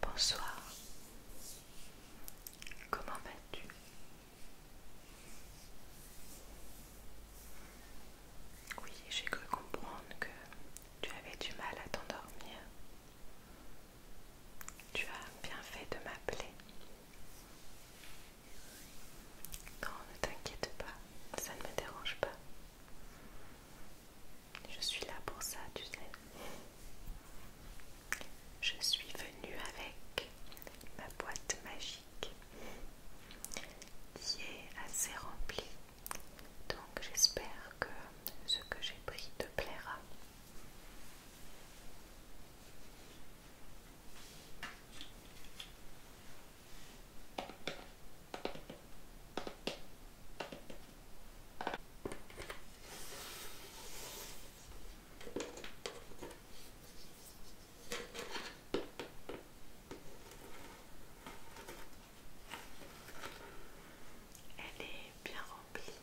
Bonsoir, comment vas-tu Oui, j'ai cru comprendre que tu avais du mal à t'endormir. Tu as bien fait de m'appeler. Non, ne t'inquiète pas, ça ne me dérange pas. Je suis là pour ça, tu sais. Je suis venue avec ma boîte magique qui est assez remplie. Donc j'espère que ce que j'ai pris te plaira. Elle est bien remplie.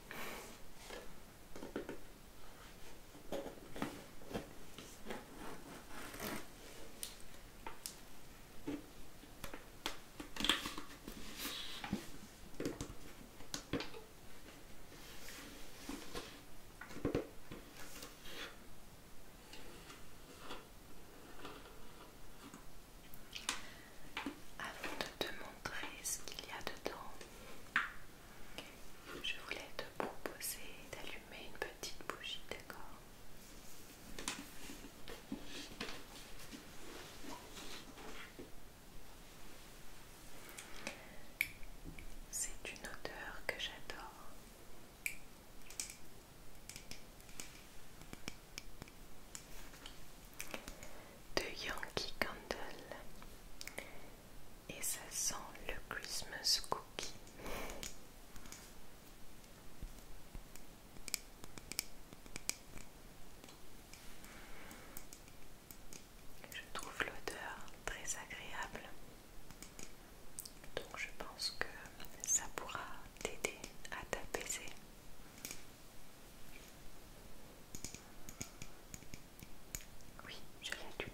Avant de te montrer ce qu'il y a dedans, je voulais te proposer d'allumer une petite bougie, d'accord c'est une odeur que j'adore. De Yankee Candle et ça sent le Christmas cookie. Je trouve l'odeur très agréable, donc je pense que ça pourra t'aider à t'apaiser. Oui, je l'allume.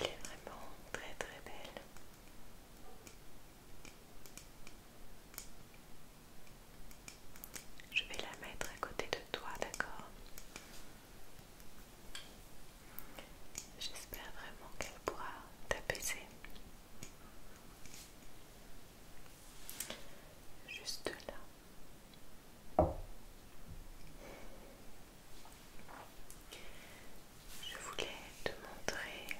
Elle est vraiment très très belle. Je vais la mettre à côté de toi, d'accord J'espère vraiment qu'elle pourra t'apaiser. Juste là. Je voulais te montrer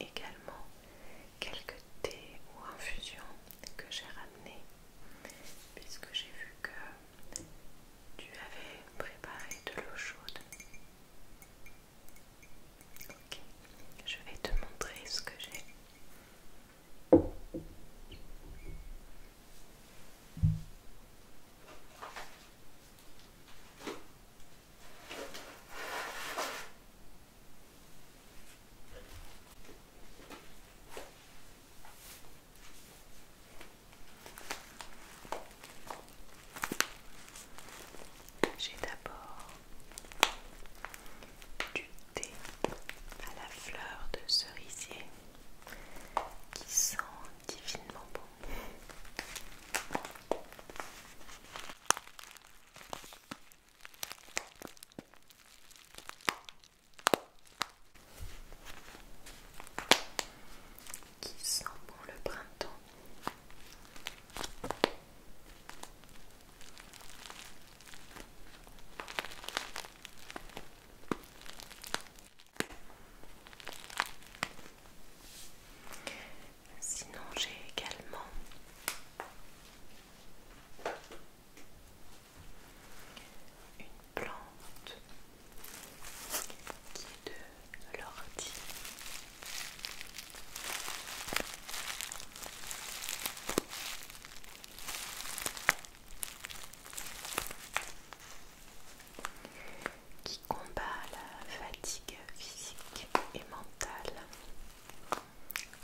également quelques thés ou infusions que j'ai ramenées puisque j'ai vu que tu avais préparé de l'eau chaude. Ok, je vais te montrer ce que j'ai. J'ai d'abord du thé à la fleur de cerisier qui sent divinement bon qui sent bon le printemps. Sinon, j'ai également une plante qui est de l'ortie. qui combat la fatigue physique et mentale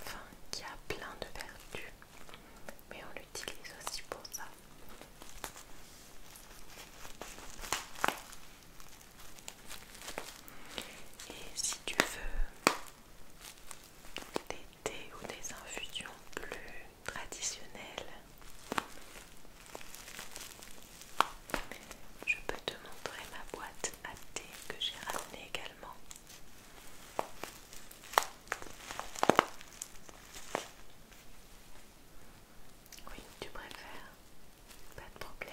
enfin qui a plein de vertus, mais on l'utilise aussi pour ça. Et si tu veux des thés ou des infusions plus traditionnelles, je peux te montrer ma boîte à thé que j'ai ramené également. Oui, tu préfères Pas de problème.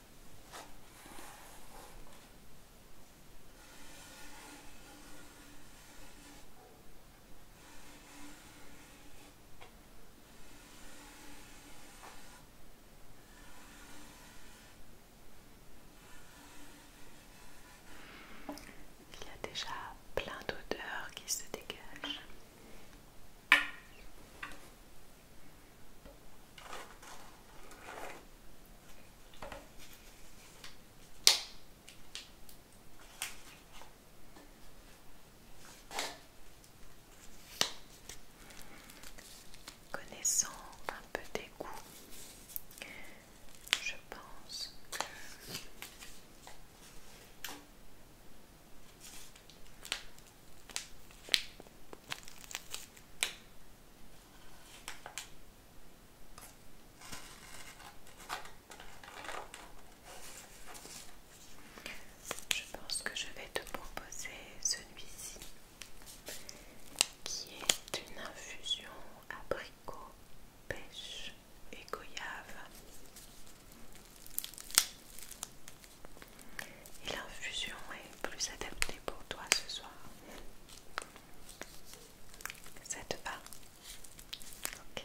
Il y a déjà plein d'odeurs qui se dégagent. Connaissant un peu des goûts, je pense je pense que je vais te proposer celui-ci qui est une infusion abricot, pêche et goyave et l'infusion est plus adaptée pour toi ce soir. Ça te Ok.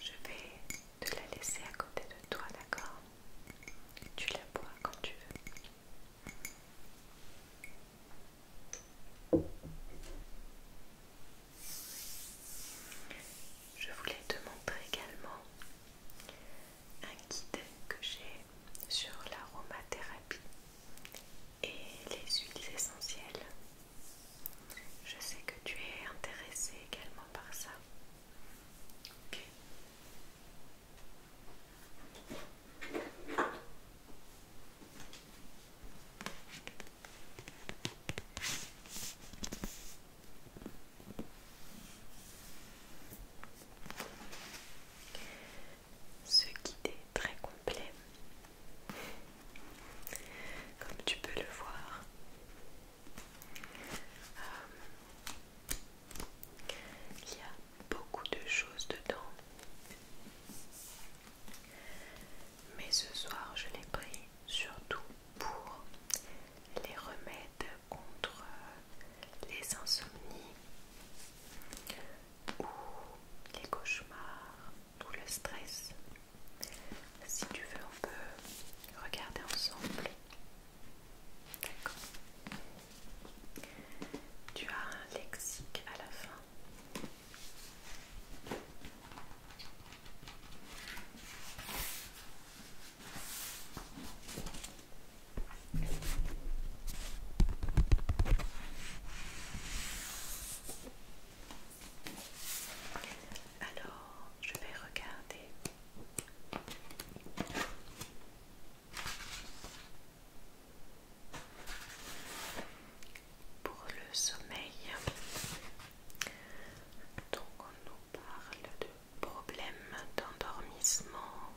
Je vais te la laisser à côté de toi, d'accord Tu la bois quand tu veux. Je voulais te montrer également un guide que j'ai sur l'aromathérapie et les huiles essentielles. Je sais que tu es intéressé également par ça. Ok. Ce guide est très complet. Comme tu peux le voir. Euh, il y a beaucoup de choses dedans. Mais ce soir, je l'ai pris surtout pour les remèdes contre euh, les insomnies ou les cauchemars ou le stress. Si tu veux, on peut regarder ensemble. D'accord. Tu as un lexique à la fin. Alors, je vais regarder. Pour le sommeil, donc on nous parle de Problème d'endormissement,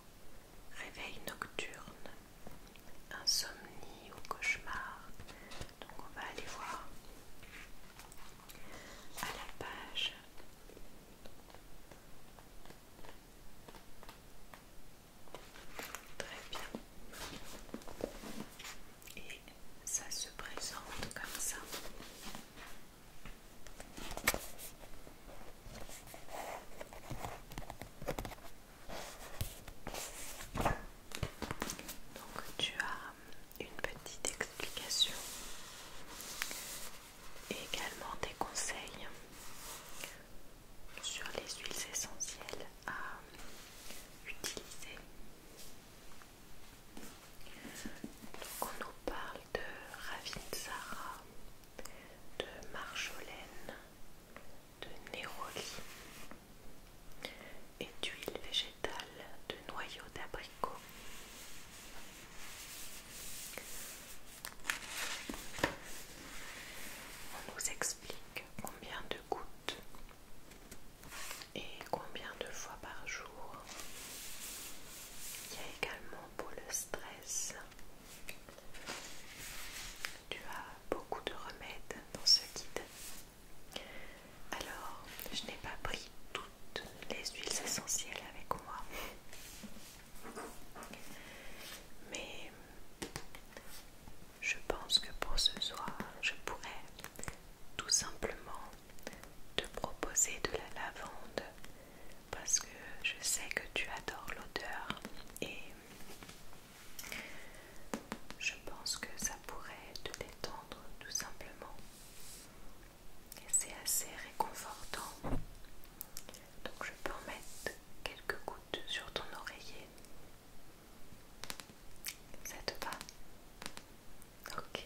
réveil nocturne, insomnie ou cauchemar. Donc on va aller voir à la page Très bien. Et ça se présente comme ça. Donc tu as une petite explication et également des conseils sur les huiles essentielles à utiliser. Donc on nous parle de Ravinsara, de Marjolaine, de Néroli et d'huile végétale de noyau d'abricot. On nous explique combien de gouttes et combien de fois par jour il y a également pour le stress. Tu as beaucoup de remèdes dans ce guide. Alors, je n'ai pas pris toutes les huiles essentielles avec moi. Mais je pense que pour ce soir, je pourrais tout simplement te proposer de la lavande parce que je sais que tu adores l'odeur et je pense que ça pourrait te détendre tout simplement. Et c'est assez réconfortant. Donc je peux en mettre quelques gouttes sur ton oreiller. Ça te va Ok.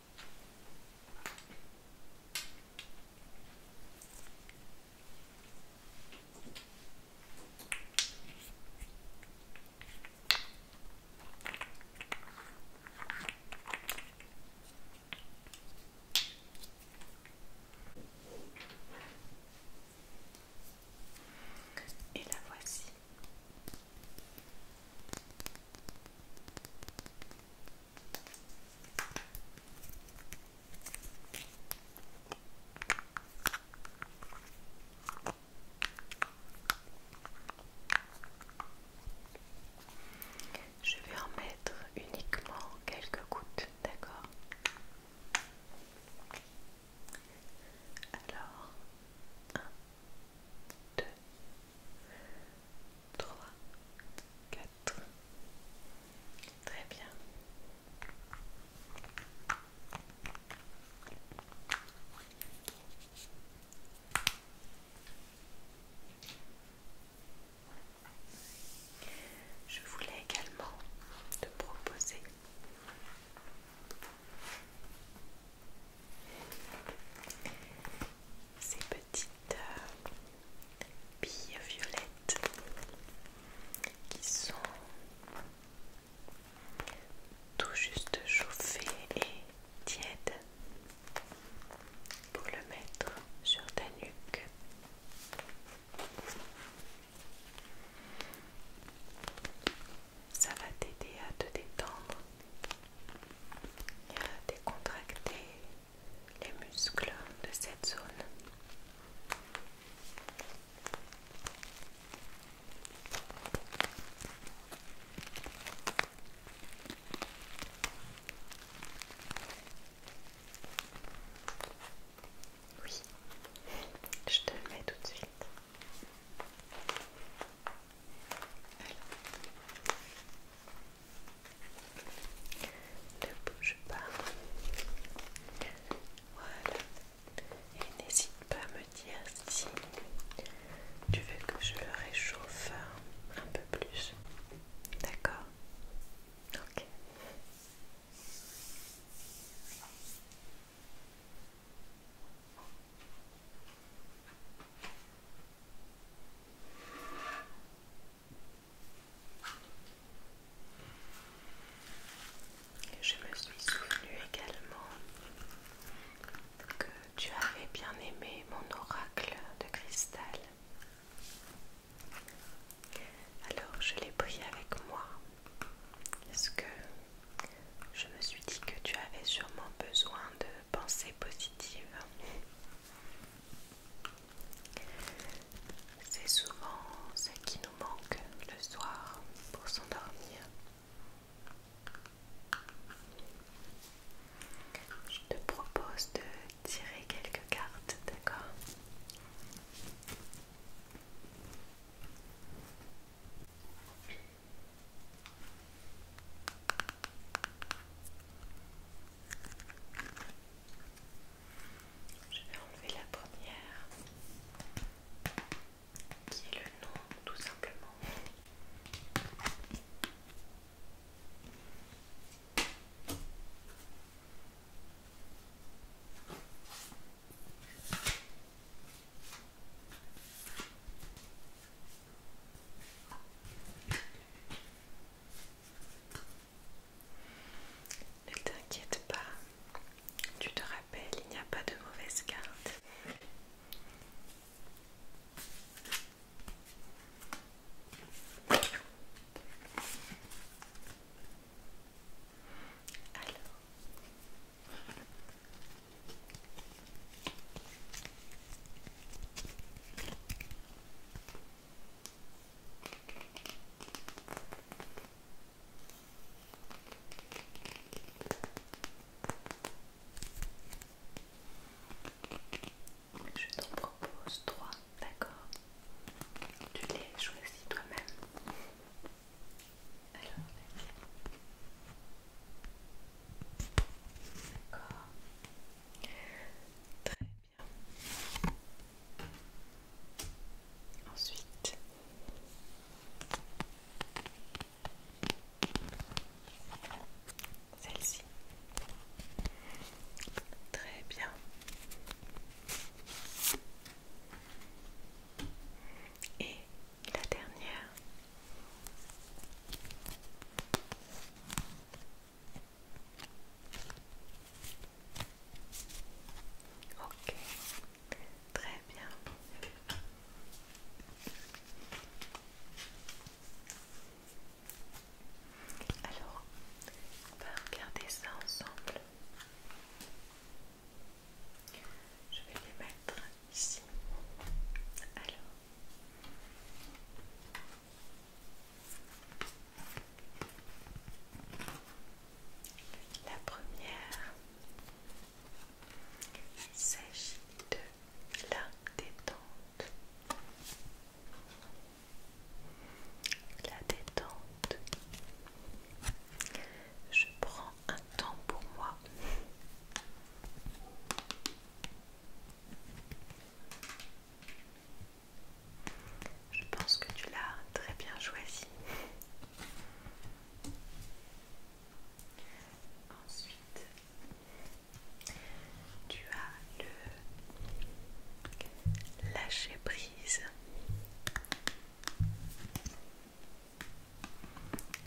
Et la voici. Je vais en mettre uniquement quelques gouttes, d'accord Alors, 2, 3, 4. Très bien. Je voulais également te proposer ces petites euh, billes violettes qui sont tout juste chauffées et tièdes pour le mettre sur ta nuque. Ça va t'aider à te détendre décontracter les muscles de cette zone. Oui, je te le mets tout de suite. Ne bouge pas. Voilà. Et n'hésite pas à me dire si tu veux que je le réchauffe un peu plus. D'accord Ok. Je me suis souvenu également que tu avais bien aimé mon oracle de cristal. Alors je l'ai pris avec moi parce que je me suis dit que tu avais sûrement besoin de pensées positives. C'est souvent ce qui nous manque le soir pour s'endormir. Je te propose de tirer quelques cartes, d'accord je vais enlever la première qui est le nom tout simplement. Ne t'inquiète pas, tu te rappelles, il n'y a pas de mauvaise carte. Je t'en propose trois, d'accord Tu les choisis toi-même. Très bien. Ensuite, celle-ci. Très bien. Et la dernière. Ok, très bien. Alors, on va regarder ça ensemble. Je vais les mettre ici. Alors. La première s'agit de la détente. La détente. Je prends un temps pour moi. Je pense que tu l'as très bien choisi. Ensuite, tu as le lâcher prise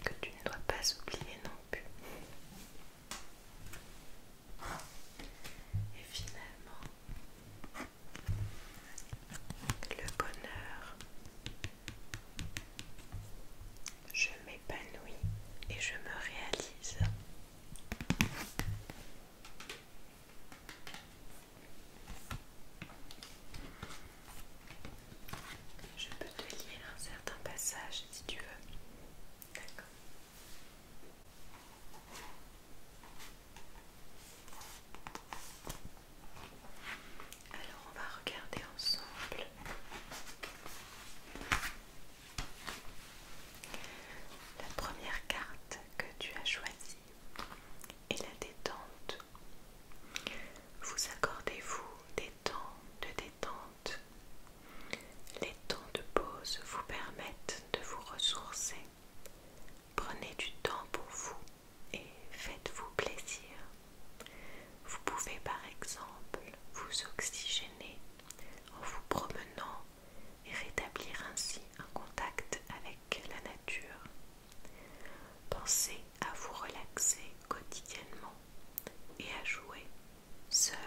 que tu ne dois pas oublier non plus. Et finalement, le bonheur, je m'épanouis et je me réalise. Je peux te lire un certain passage si tu veux. D'accord. Alors on va regarder ensemble la première carte que tu as choisie est la détente. Vous accordez-vous des temps de détente les temps de pause vous permettent de vous ressourcer. Prenez du temps pour vous et faites-vous plaisir. Vous pouvez par exemple vous oxygéner en vous promenant et rétablir ainsi un contact avec la nature. Pensez à vous relaxer quotidiennement et à jouer seul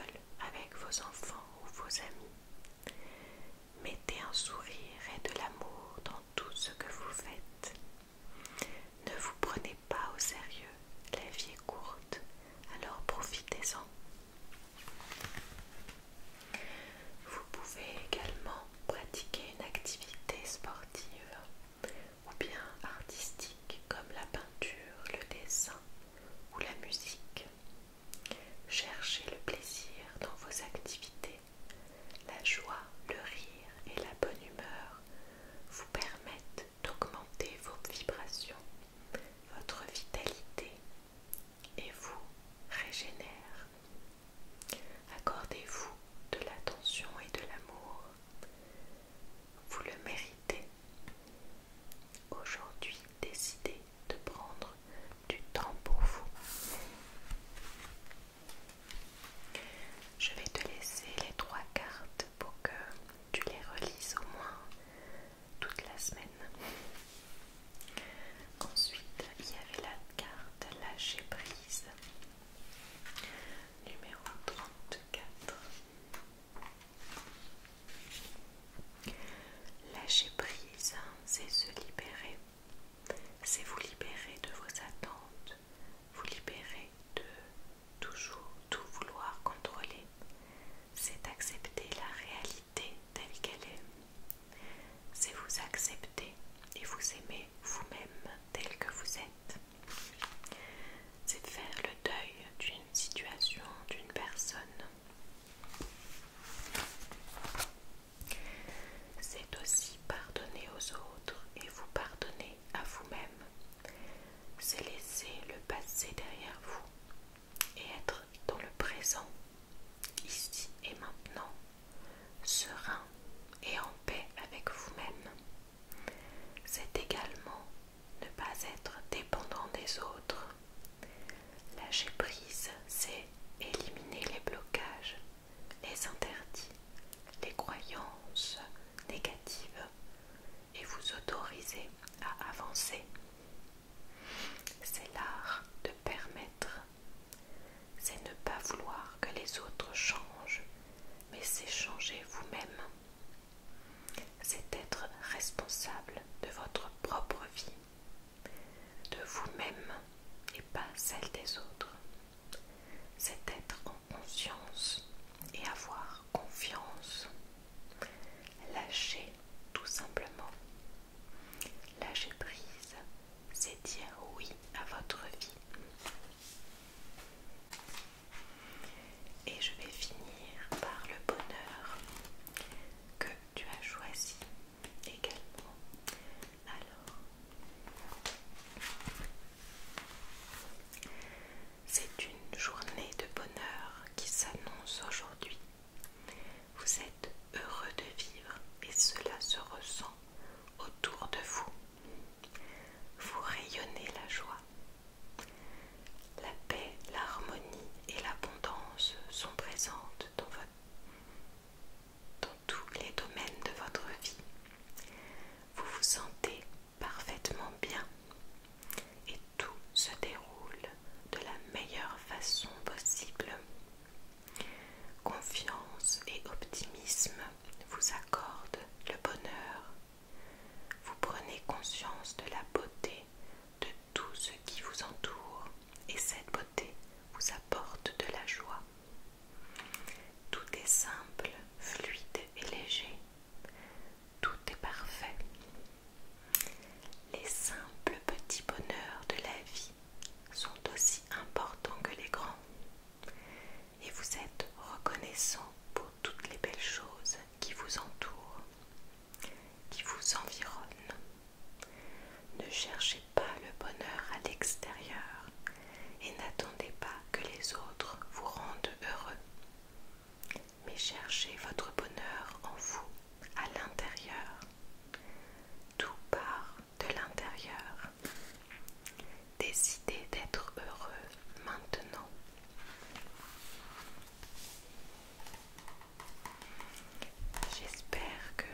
avec vos enfants ou vos amis. Mettez un sourire et de l'amour dans tout ce que vous faites. Ne vous prenez pas au sérieux, la vie est courte, alors profitez-en. Vous pouvez également pratiquer une activité sportive ou bien artistique comme la peinture, le dessin ou la musique. Cherchez le plaisir dans vos activités. La joie, le rire et la bonne humeur vous permettent d'augmenter vos vibrations, votre vitalité et vous régénère. Accordez-vous de l'attention et de l'amour. Vous le méritez. Aujourd'hui, décidez de prendre du temps pour vous. Je vais te laisser les trois cartes pour que tu les relises au moins toute la semaine. Ensuite, il y avait la carte lâcher prise numéro 34. Lâcher prise, hein, c'est se libérer. C'est vous libérer de vos attentes, vous libérer de toujours tout vouloir contrôler. C'est accepter la réalité telle qu'elle est. C'est vous accepter et vous aimer vous-même tel que vous êtes. C'est faire le deuil d'une situation, d'une personne. C'est aussi pardonner aux autres et vous pardonner à vous-même. C'est laisser le passé derrière vous et être dans le présent, ici et maintenant, serein et en paix avec vous-même. C'est également ne pas être dépendant des autres. Lâcher prise, c'est éliminer les blocages, les interdits, les croyances négatives et vous autoriser à avancer. C'est l'art de permettre. C'est ne pas vouloir que les autres changent, mais c'est changer vous-même c'est être responsable de votre propre vie, de vous-même et pas celle des autres. C'est être en conscience et avoir confiance. Lâcher tout simplement. Lâcher prise, c'est dire oui à votre vie. Et je vais finir par le bonheur que tu as choisi également. Alors, c'est une journée de bonheur qui s'annonce aujourd'hui. Vous êtes heureux de vivre et cela se ressent autour de vous. Vous rayonnez la joie la paix, l'harmonie et l'abondance sont présentes dans, tous les domaines de votre vie. Vous vous sentez parfaitement bien et tout se déroule de la meilleure façon possible. Confiance et optimisme vous accordent le bonheur. Vous prenez conscience de la beauté de tout ce qui vous entoure et cette beauté vous apporte de la joie. Tout est simple, fluide et léger. Tout est parfait. Les simples petits bonheurs de la vie sont aussi importants que les grands. Et vous êtes reconnaissant pour toutes les belles choses qui vous entourent qui vous environne. Ne cherchez pas le bonheur à l'extérieur et n'attendez pas que les autres vous rendent heureux, mais cherchez votre bonheur en vous, à l'intérieur. Tout part de l'intérieur. Décidez d'être heureux maintenant. J'espère que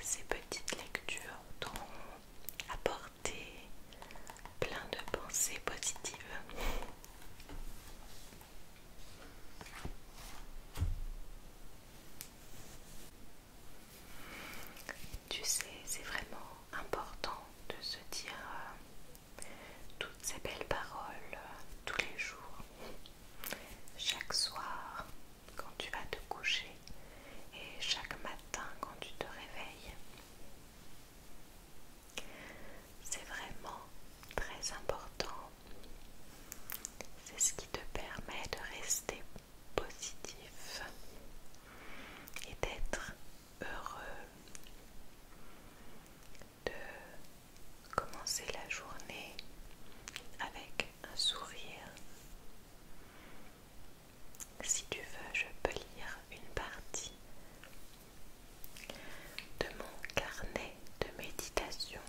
ces petites lectures t'ont apporté plein de pensées positives. Tu sais, c'est vraiment important de se dire euh, toutes ces belles paroles tous les jours, chaque soir quand tu vas te coucher et chaque matin quand tu te réveilles. C'est vraiment très important. C'est ce qui te permet de rester positif et d'être heureux de commencer la journée avec un sourire. Si tu veux, je peux lire une partie de mon carnet de méditation.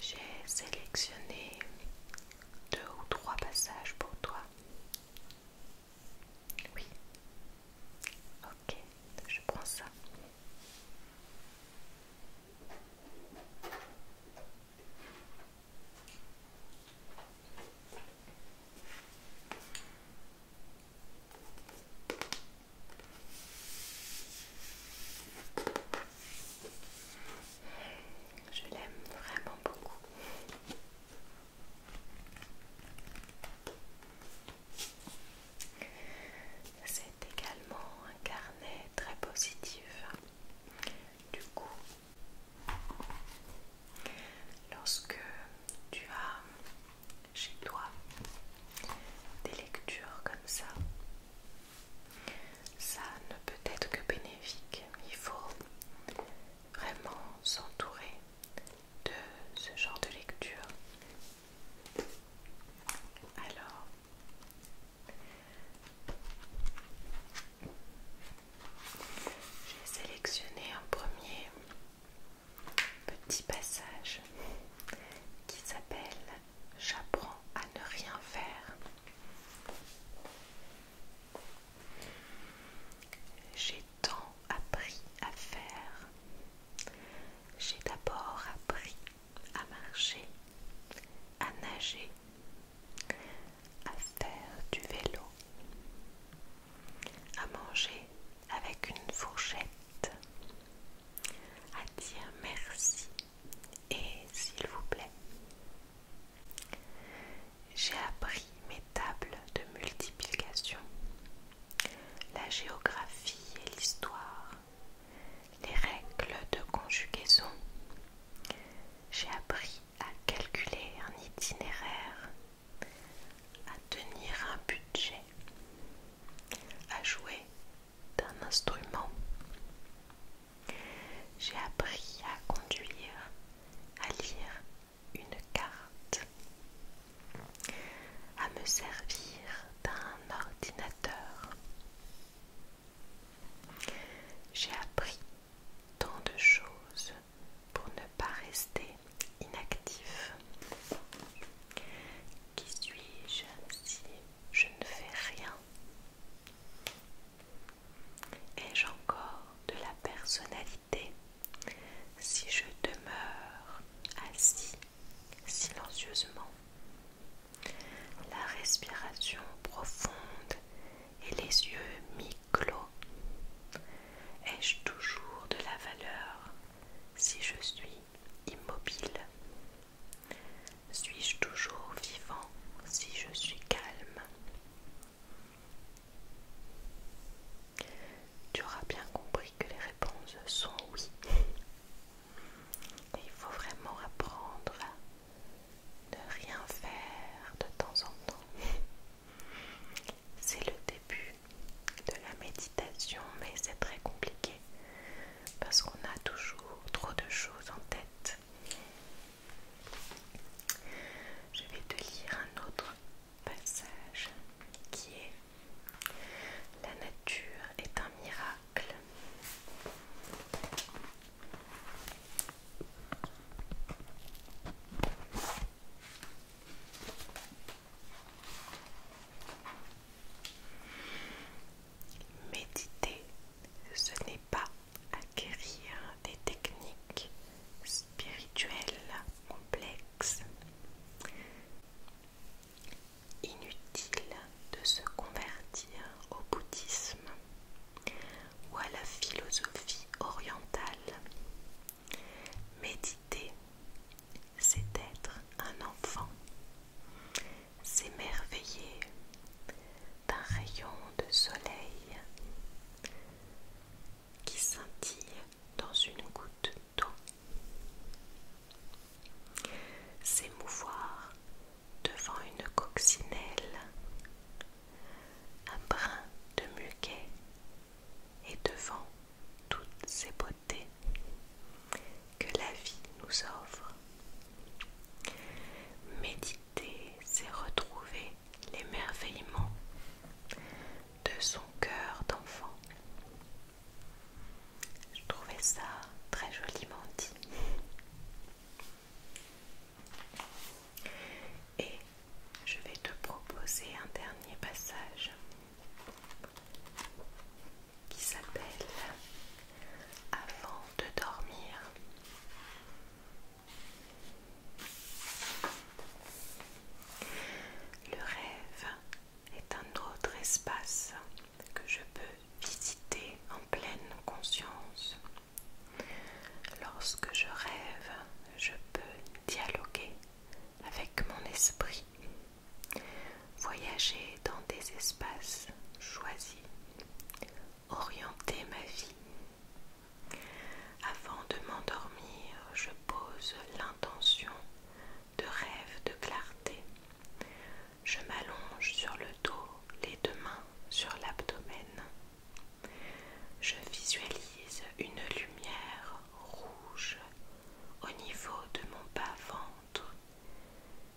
J'ai sélectionné deux ou trois passages pour toi. Oui. Ok, je prends ça. Je l'aime vraiment beaucoup. C'est également un carnet très positif. Du coup, lorsque tu as chez toi des lectures comme ça, ça ne peut être que bénéfique. Il faut vraiment s'entourer de ce genre de lecture alors, j'ai sélectionné un premier petit passage qui s'appelle J'apprends à ne rien faire tant appris à faire. J'ai d'abord appris à marcher, à nager, à faire du vélo, à manger avec une fourchette, à dire merci et s'il vous plaît. J'ai appris mes tables de multiplication, la géographie et l'histoire, les règles de conjugaison. J'ai appris à calculer un itinéraire, à tenir un budget, à jouer d'un instrument. J'ai appris à conduire, à lire une carte à me servir d'un ordinateur. J'ai appris tant de choses pour ne pas rester inactif. Qui suis-je si je ne fais rien Ai-je encore de la personnalité si je demeure assis silencieusement. La respiration profonde et les yeux mi-clos. Ai-je toujours de la valeur si je suis immobile Suis-je toujours vivant si je suis calme Tu auras bien compris que les réponses sont oui. il faut vraiment apprendre ne rien faire de temps en temps. C'est le début de la méditation, mais c'est très compliqué parce qu'on a toujours trop de choses en tête. Je vais te lire un autre passage qui est La nature est un miracle. Méditer, ce n'est pas acquérir des techniques spirituelles complexes. Inutile de se convertir au bouddhisme ou à la philosophie orientale. Méditer, c'est être un enfant, s'émerveiller d'un rayon de soleil qui scintille dans une goutte d'eau. S'émouvoir devant une coccinelle, un brin de muquet et devant toutes ces beautés que la vie nous offre. Méditer, c'est retrouver l'émerveillement de son cœur d'enfant. Je trouvais ça très joliment dit. Et je vais te proposer un dernier passage qui s'appelle Avant de dormir. Le rêve est un autre espace que je peux visiter en pleine conscience. Lorsque je rêve, je peux dialoguer avec mon esprit, voyager dans des espaces choisis, orienter ma vie. Avant de m'endormir, je pose l'intention de rêve, de clarté. Je m'allonge sur le dos, les deux mains sur l'abdomen. Je visualise une lumière rouge au niveau de mon bas-ventre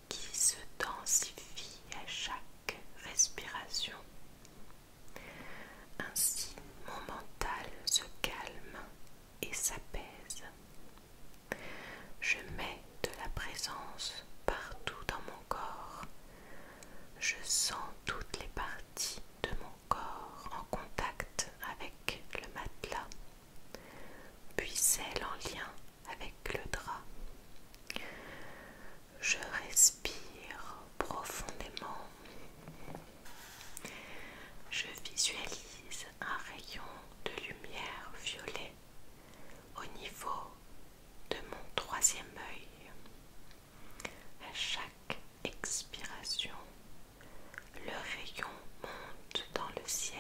qui se densifie à chaque respiration. Ainsi, mon mental se calme et s'apaise. Je mets de la présence partout dans mon corps. Je sens toutes les parties de mon corps en contact avec le matelas, puis celles en lien avec le drap. Je respire profondément. Je visualise un rayon de lumière violet au niveau de mon troisième œil. À chaque expiration, le rayon monte dans le ciel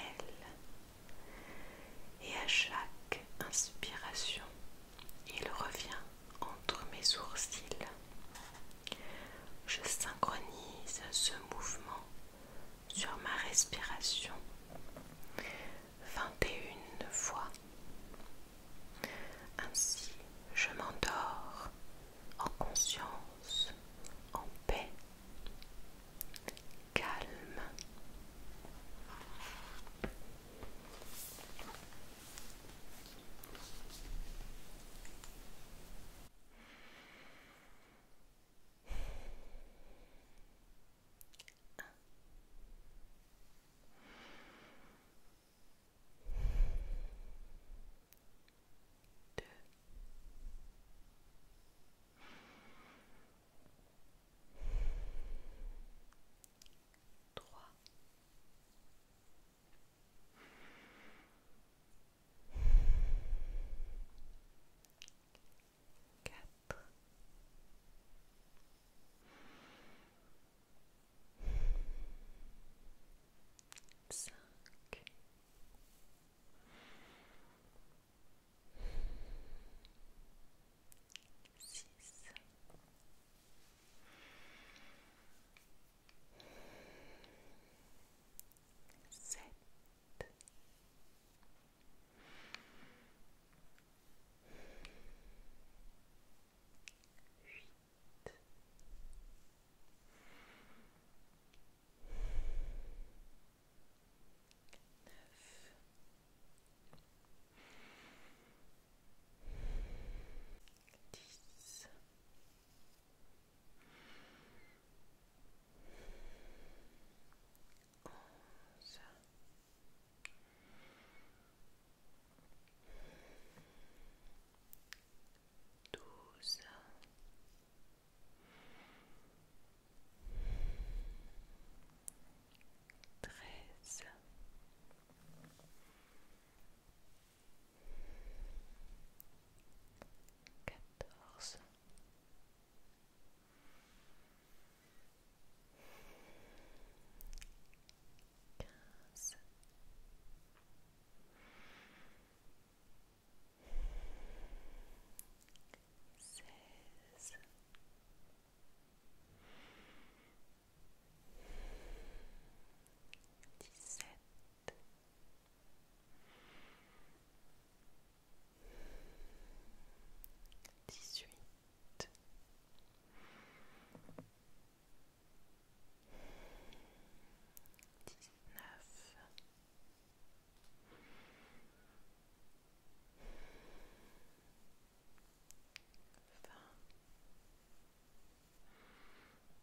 et à chaque inspiration, il revient entre mes sourcils. Je synchronise ce mouvement sur ma respiration 21 fois. Ainsi, je m'endors en conscience, en paix, calme. Deux. Trois quatre cinq six sept. Huit. Neuf. Dix. Onze. Douze. Treize quatorze quinze seize dix-sept dix-huit dix-neuf